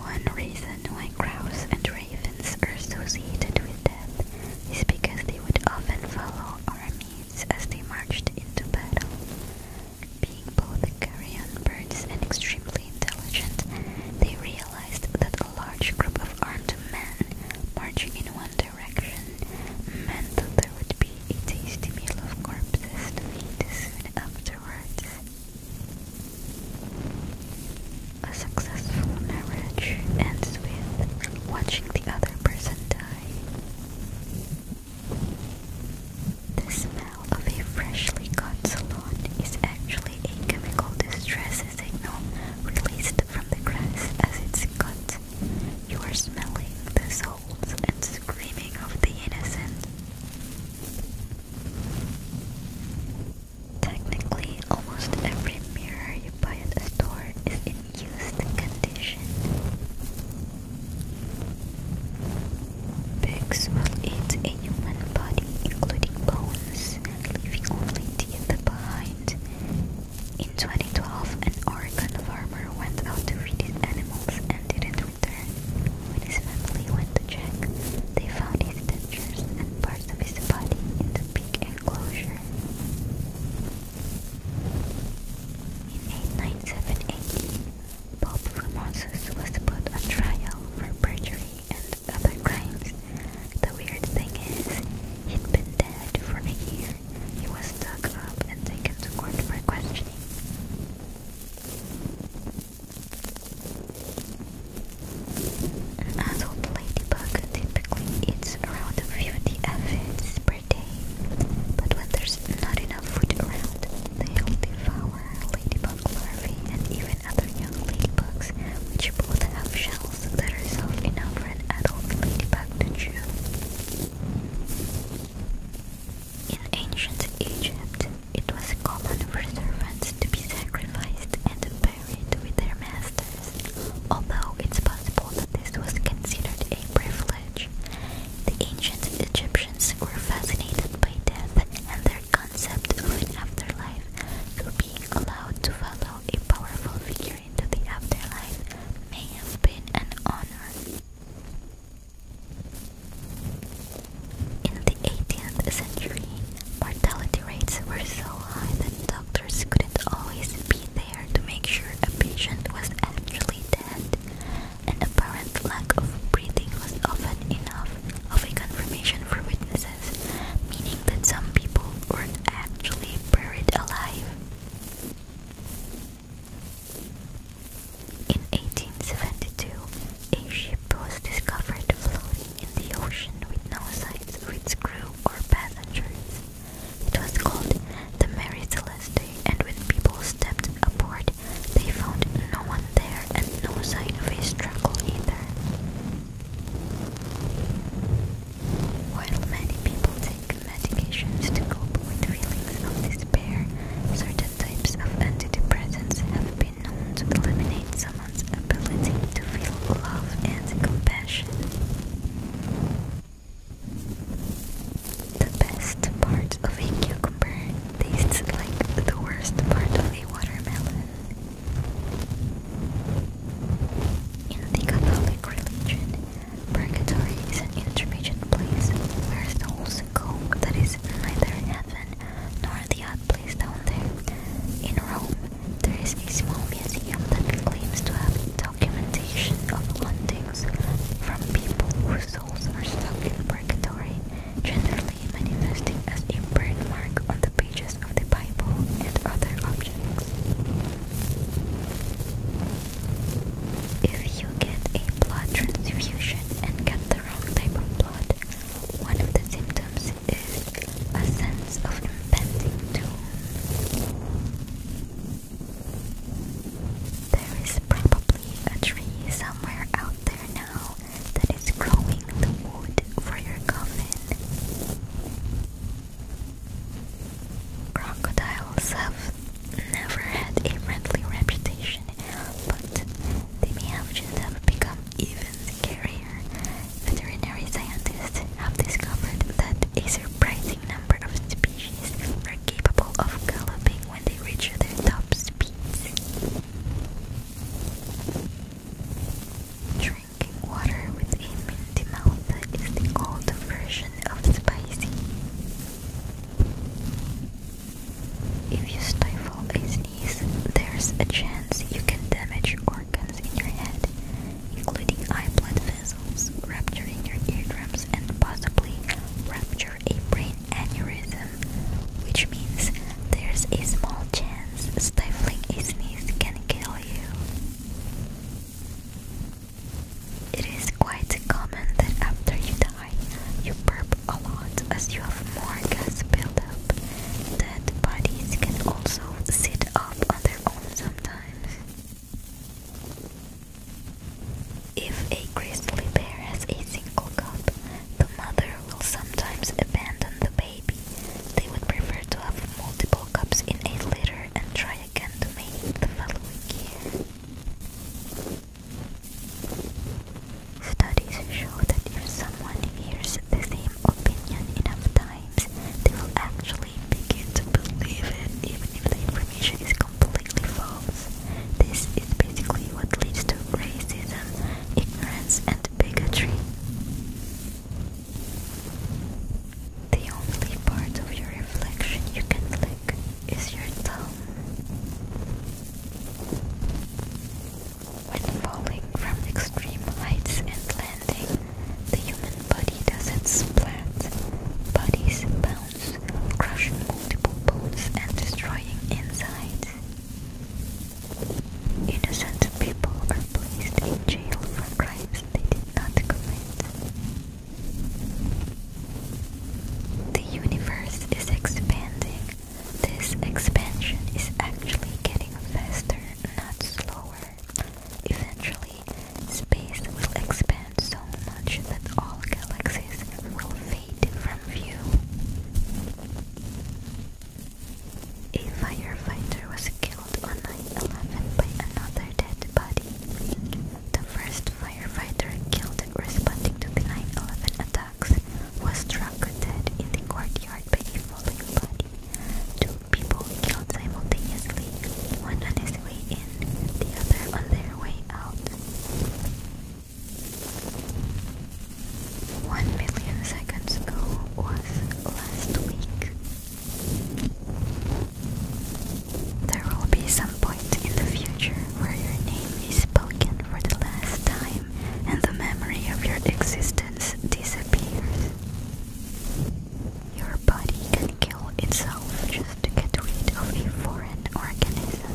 One reason why crows and ravens are associated with death is because they would often follow armies as they marched into battle. Being both carrion birds and extremely intelligent, they realized that a large group of armed men marching in one direction meant that there would be a tasty meal of corpses to eat soon afterwards. A successful marriage ends with watching the other person die. The smell of a freshly cut salon is actually a chemical distress signal released from the grass as it's cut. You are smelling the souls and screaming of the innocent. Technically, almost every mirror you buy at a store is in used condition. Pigs will eat a human body, including bones, leaving only teeth behind. In 2012, an Oregon farmer went out to feed his animals and didn't when his family went to check, they found his dentures and parts of his body in the big enclosure. In 8978, Pope Formosus was put on trial for perjury and other crimes. The weird thing is, he'd been dead for a year. He was stuck up and taken to court for questioning. An adult ladybug typically eats around 50 aphids per day, but when there's not enough food around, they'll devour ladybug larvae and even other young ladybugs, which both have shells that are soft enough for an adult ladybug to chew. In ancient Egypt, it was common for servants to be sacrificed and buried with their masters, although it's possible that this was considered a privilege. The ancient Egyptians were fascinated by death and their concept of an afterlife, so being allowed to follow a powerful figure into the afterlife may have been an honor. In the 18th century, mortality rates were so high that doctors couldn't always be there to make sure a patient was actually dead. An apparent lack of breathing was often enough of a confirmation for witnesses, meaning that some people were actually buried alive. In 1872, a ship was discovered floating in the ocean with no signs of its crew or passengers. It was called the Mary Celeste, and when people stepped aboard, they found no one there and no sign of a struggle either. While many people take medications to cope with feelings of despair, certain types of antidepressants have been known to eliminate someone's ability to feel love and compassion. The best part of a cucumber tastes like the worst part of a watermelon. In the Catholic religion, purgatory is an intermediate place where souls go that is neither heaven nor the other place down there. In Rome, there is a small museum that claims to have documentation of hauntings from people whose souls are stuck in purgatory, generally manifesting as a birthmark on the pages of the Bible and other objects. If you get a blood transfusion and get the wrong type of blood, one of the symptoms is a sense of impending doom. There is probably a tree somewhere out there now that is growing the wood for your coffin. Crocodiles have never had a friendly reputation, but they may have just become even scarier. Veterinary scientists have discovered that a surprising number of species are capable of galloping when they reach their top speeds drinking water with a minty mouth is the old version of spicy. If you stifle a sneeze, there's a chance you can damage organs in your head, including eye blood vessels, rupturing your eardrums, and possibly rupture a brain aneurysm, which means there's a small chance stifling a sneeze can kill you. It is quite common that after you die, you burp a lot as you have more gas buildup. Dead bodies can also sit up on their own sometimes. If a grizzly bear has a single cub, the mother will sometimes abandon the baby baby, they would prefer to have multiple cups in a litter and try again to mate the following year. Studies show that if someone hears the same opinion enough times, they will actually begin to believe it even if the information is completely false. This is basically what leads to racism ignorance, and bigotry. The only part of your reflection you can lick is your tongue. When falling from extreme heights and landing, the human body doesn't splat. Bodies bounce, crushing multiple bones and destroying insides. Innocent people are placed in jail for crimes they did not commit. The universe is expanding. This expansion is actually getting faster, not slower. Eventually, space will expand so much that all galaxies will fade from view. A firefighter was killed on 9-11 by another dead body. The first firefighter killed responding to the 9-11 attacks was struck dead in the courtyard by a falling body. Two people killed simultaneously, one on his way in, the other on their way out. One million seconds ago was last week. There will be some point in the future where your name is spoken for the last time and the memory of your existence disappears. Your body can kill itself just to get rid of a foreign organism.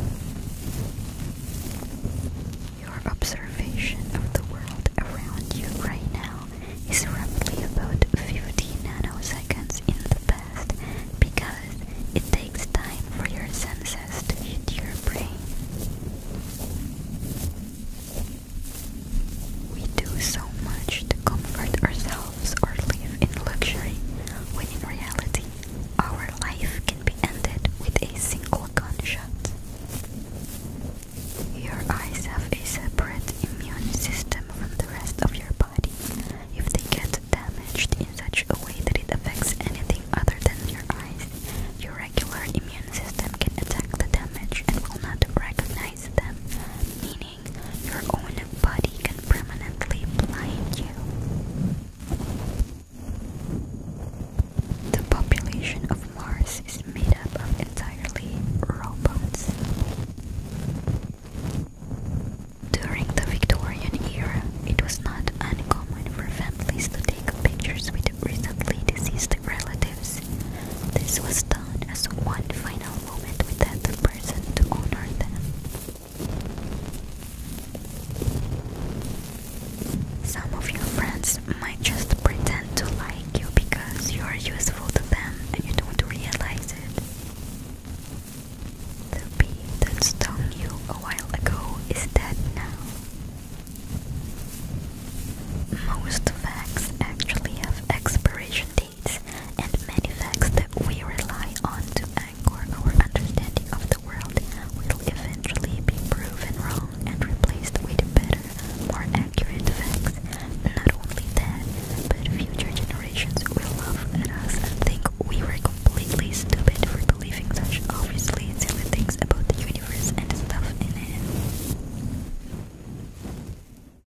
Your observation of the world around you right now is roughly about 15 nanoseconds in the past because it takes time for your senses to hit your brain. We do so much to comfort ourselves or live in luxury when in reality our life can be ended with a single gunshot. Your eyes have a separate immune system from the rest of your body. If they get damaged in such a way that it affects anything other than your eyes, your regular immune system can attack the damage and will not recognize them, meaning your own body can permanently blind you. The population of Mars is made up of entirely robots. During the Victorian era, it was not uncommon for families to take pictures with recently deceased relatives. This was done as one final moment with that person to honor them. Some of your friends might just pretend to like you because you are useful to them and you don't realize it. The bee that stung you a while ago is dead now. Most facts actually have expiration dates and many facts that we rely on to anchor our understanding of the world will eventually be proven wrong and replaced with better, more accurate facts. Not only that, but future generations will laugh at us and think we were completely stupid for believing such obviously silly things about the universe and stuff in it.